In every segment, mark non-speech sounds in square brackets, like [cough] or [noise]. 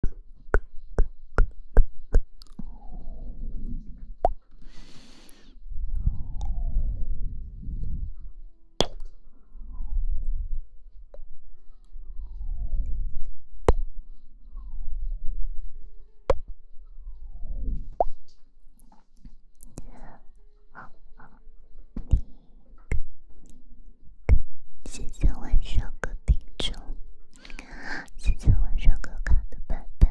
好，好，你，谢谢晚上个叮嘱。谢谢晚上可卡的陪伴。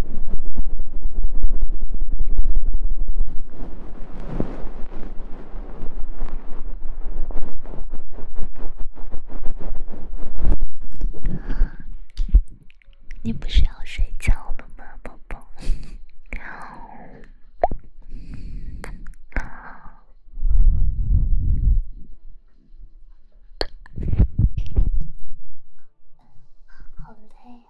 你不是要睡觉了吗，宝宝？好累呀。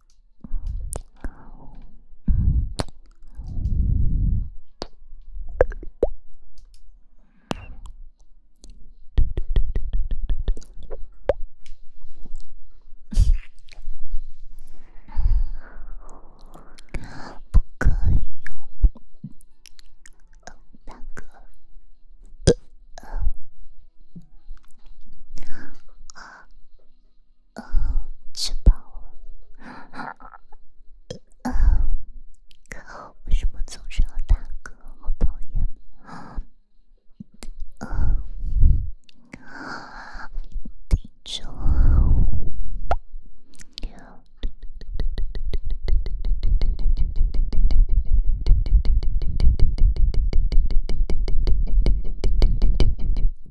不可以用动大哥。吃饱了。啊！可我为什么总是要大哥？我讨厌。二、三、五、六、七、八、九、十、十一、十二、十三、十四、十五、十六、十七、十八、十九、二十。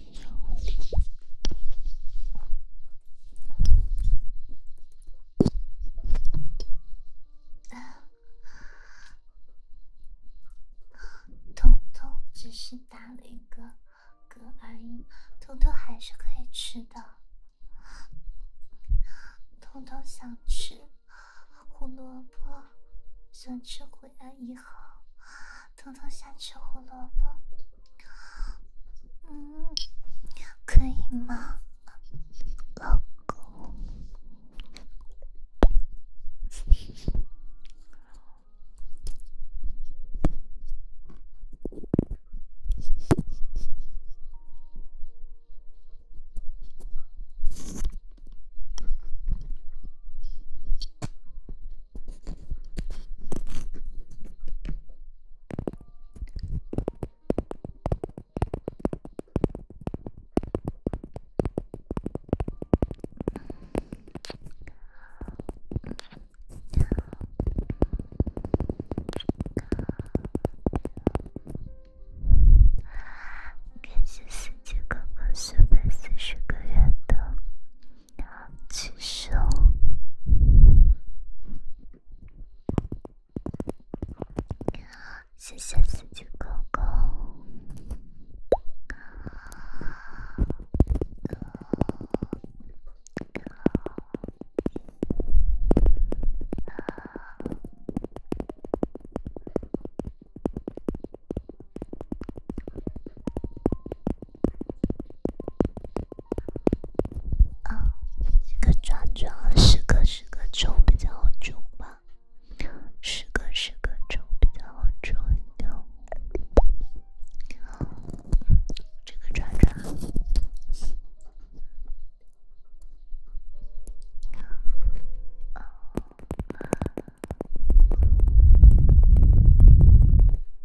彤 [laughs] 彤只是打了一个嗝而已，彤彤还是可以吃的。彤彤想吃胡萝卜，想吃安泥好。偷偷想吃胡萝卜，嗯，可以吗，老公？感谢世界公共设备四十个圆灯。结束。谢谢四九公公。啊，这个转转十个十个抽比较抽吧，十个十个抽比较抽一点。这个转转啊。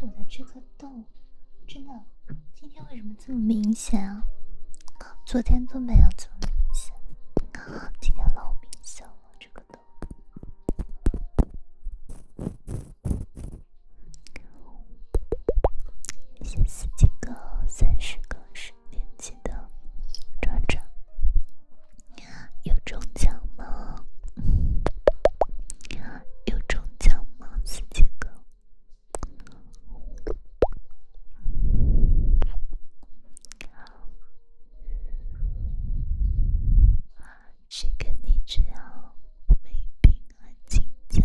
我的这个痘真的，今天为什么这么明显啊？昨天都没有这么明显，今天老明显了，这个痘。先四有中奖吗，四级哥？好啊，谁跟你这样没品啊，金枪？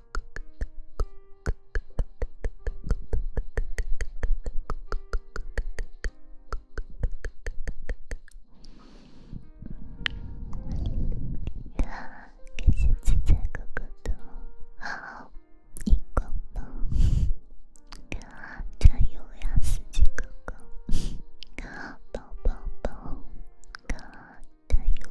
啊，感谢自在哥哥的好，一个抱。啊，加油呀，四季哥哥。啊，抱抱抱。啊，加油。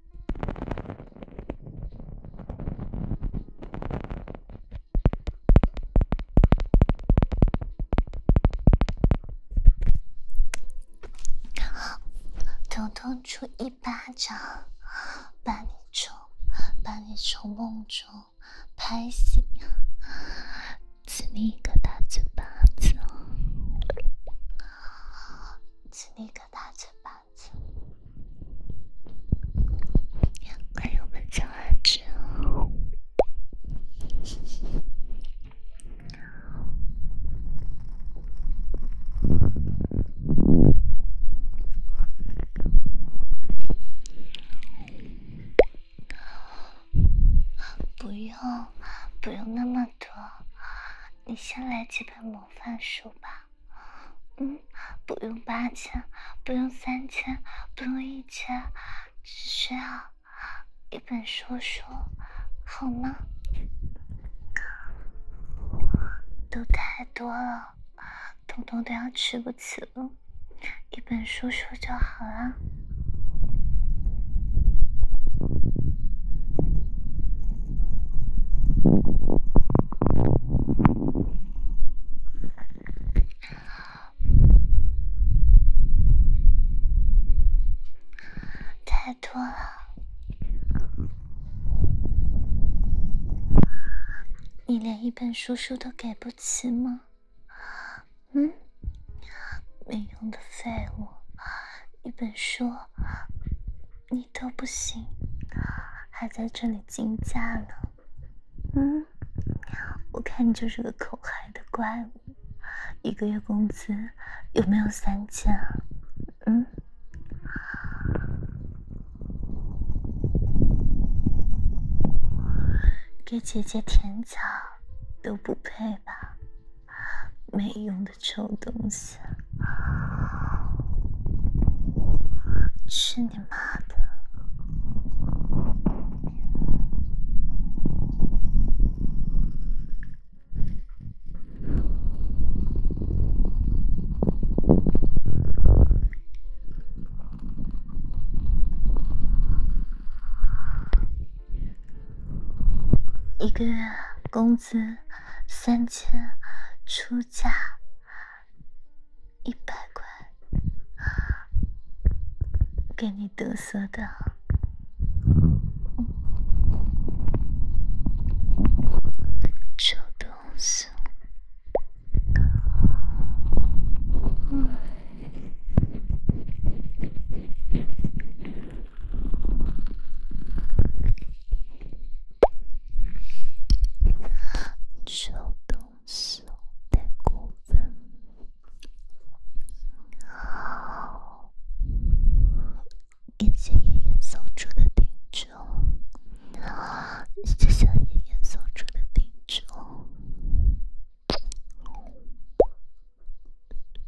疼痛出一巴掌，把你从把你从梦中拍醒，亲你一个大嘴巴子，亲你一个大嘴巴。朋友不用，不用那么多，你先来几杯我。换书吧，嗯，不用八千，不用三千，不用一千，只需要一本书书，好吗？都太多了，统统都要吃不起了，一本书书就好了。太多了，你连一本书书都给不起吗？嗯，没用的废物，一本书。你都不行，还在这里竞价呢？嗯，我看你就是个口嗨的怪物。一个月工资有没有三千？嗯，给姐姐舔脚都不配吧。没用的臭东西，吃你妈的！一个月工资。子三千，出价一百块，给你得瑟的，臭东西！嗯。小东西太过分，好，感谢爷爷送出的听众，啊，谢谢爷爷送出的听众。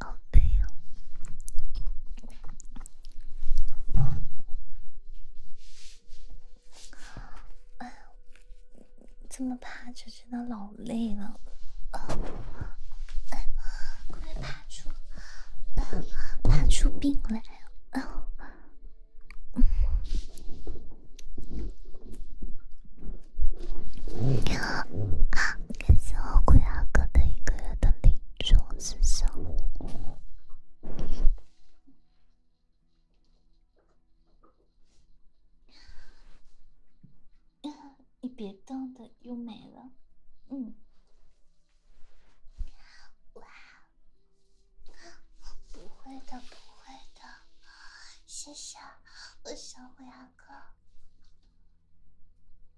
好累哦！哎，这么趴着真的老累了，快爬趴出趴出病来啊！啊，感谢我鬼大哥的一个月的礼。我子上，你别动的，又没了。嗯，哇，不会的，不会的，谢谢，我想回阿哥。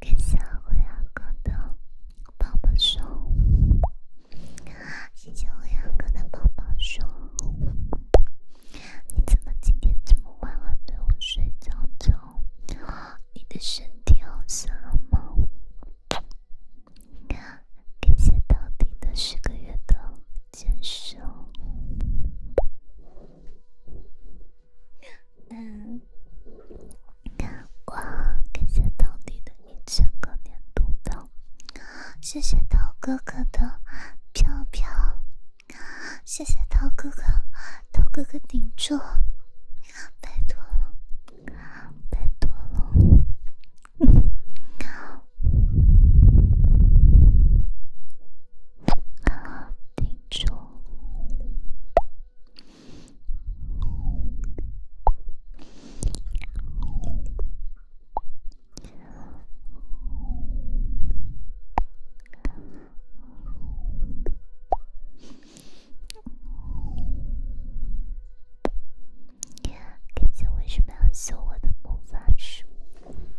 感谢我两个的抱抱手，谢谢我两个的抱抱手。你怎么今天这么晚了对我睡觉觉？你的身体好香啊！你感谢头顶的十个月的坚守。阳光，感谢桃弟的一千个年度票，谢谢涛哥哥的票票，谢谢涛哥哥，涛哥哥顶住，拜托了，拜托了，究为什么要修我的魔法书？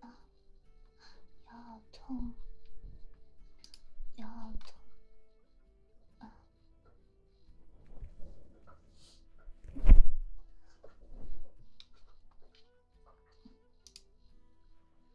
牙好痛，牙好痛，啊！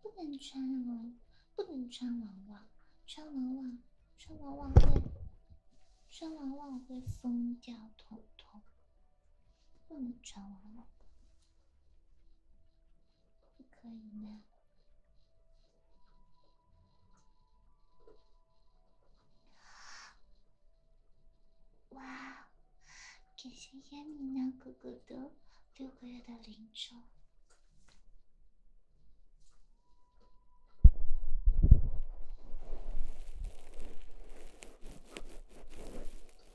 不能穿了，不能穿网娃，穿网娃，穿网娃会，穿网袜会疯掉，彤彤，不能穿网娃。可以吗？哇，感谢烟米男哥哥的六个月的零钟。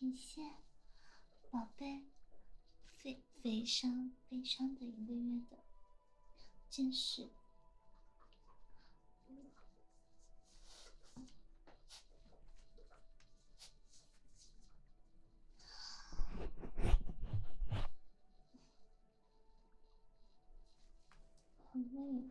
感谢，宝贝，非悲伤悲伤的一个月的真是。好累。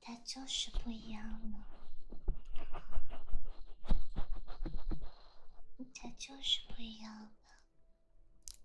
他 [laughs] 就是不一样了，他就是不一样了。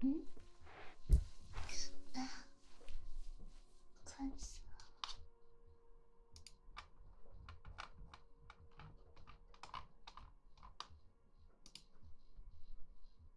嗯，啊，困死了。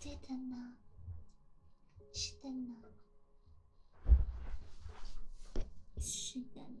对的呢，是的呢，是的呢。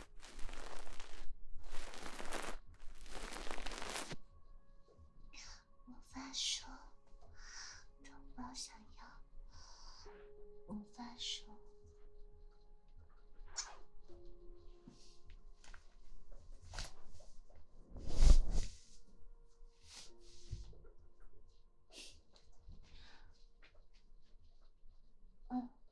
无法说，宝宝想要，我法说。嗯。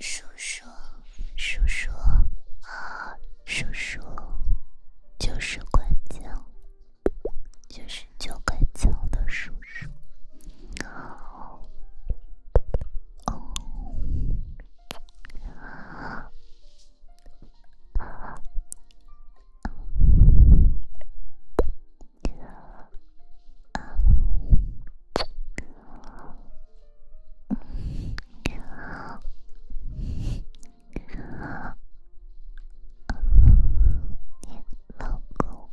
叔叔，叔叔，叔叔，就是管家。就是教给枪的叔叔，好，哦，你好，你好，老公。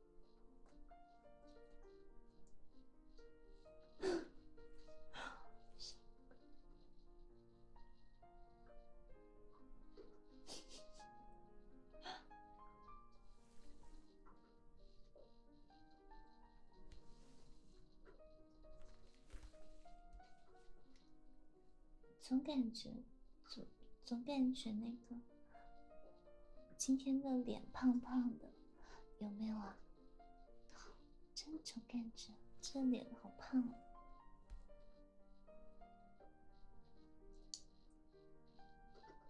总感觉，总总感觉那个。今天的脸胖胖的，有没有啊？这种感觉，这脸好胖，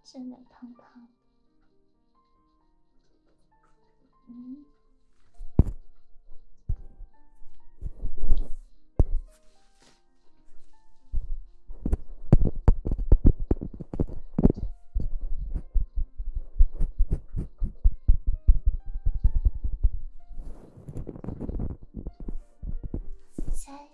真的胖胖。嗯。加油！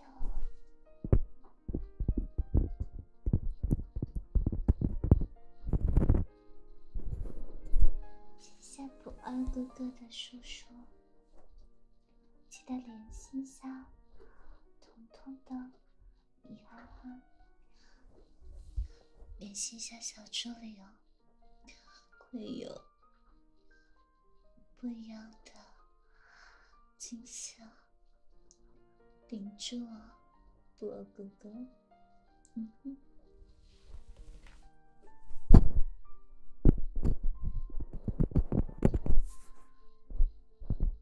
谢谢不二哥哥的书书。记得联系一下彤彤的，你好好联系一下小助理哦，会有不一样的惊喜住哦，我，宝哥哥，嗯哼。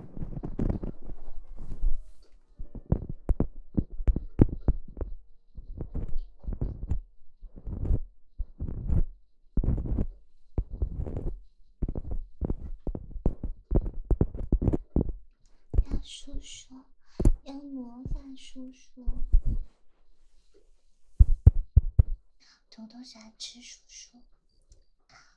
大叔叔，要魔法叔叔，要偷偷喜欢吃叔叔。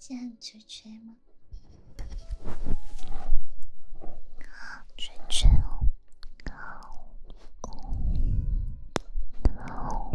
这样就吹吗？绝绝哦，哦哦哦哦哦。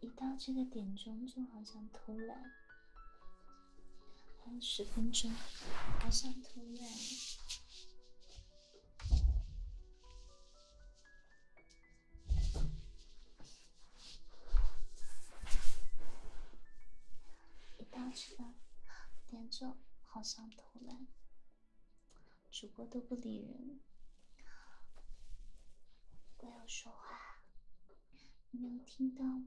一到这个点钟，就好想偷懒。还有十分钟，好想偷懒。一到这个点钟，好想偷懒。主播都不理人。不要说话，你有听到吗？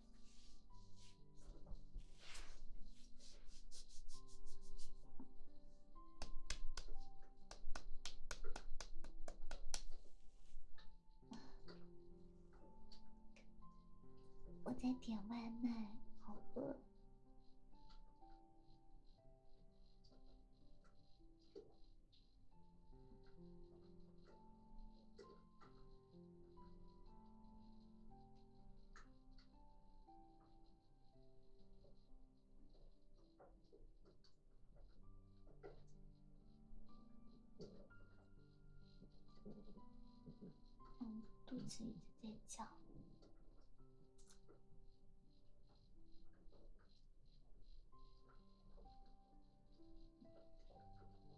我在点外卖。好饿。嗯，肚子一直在叫。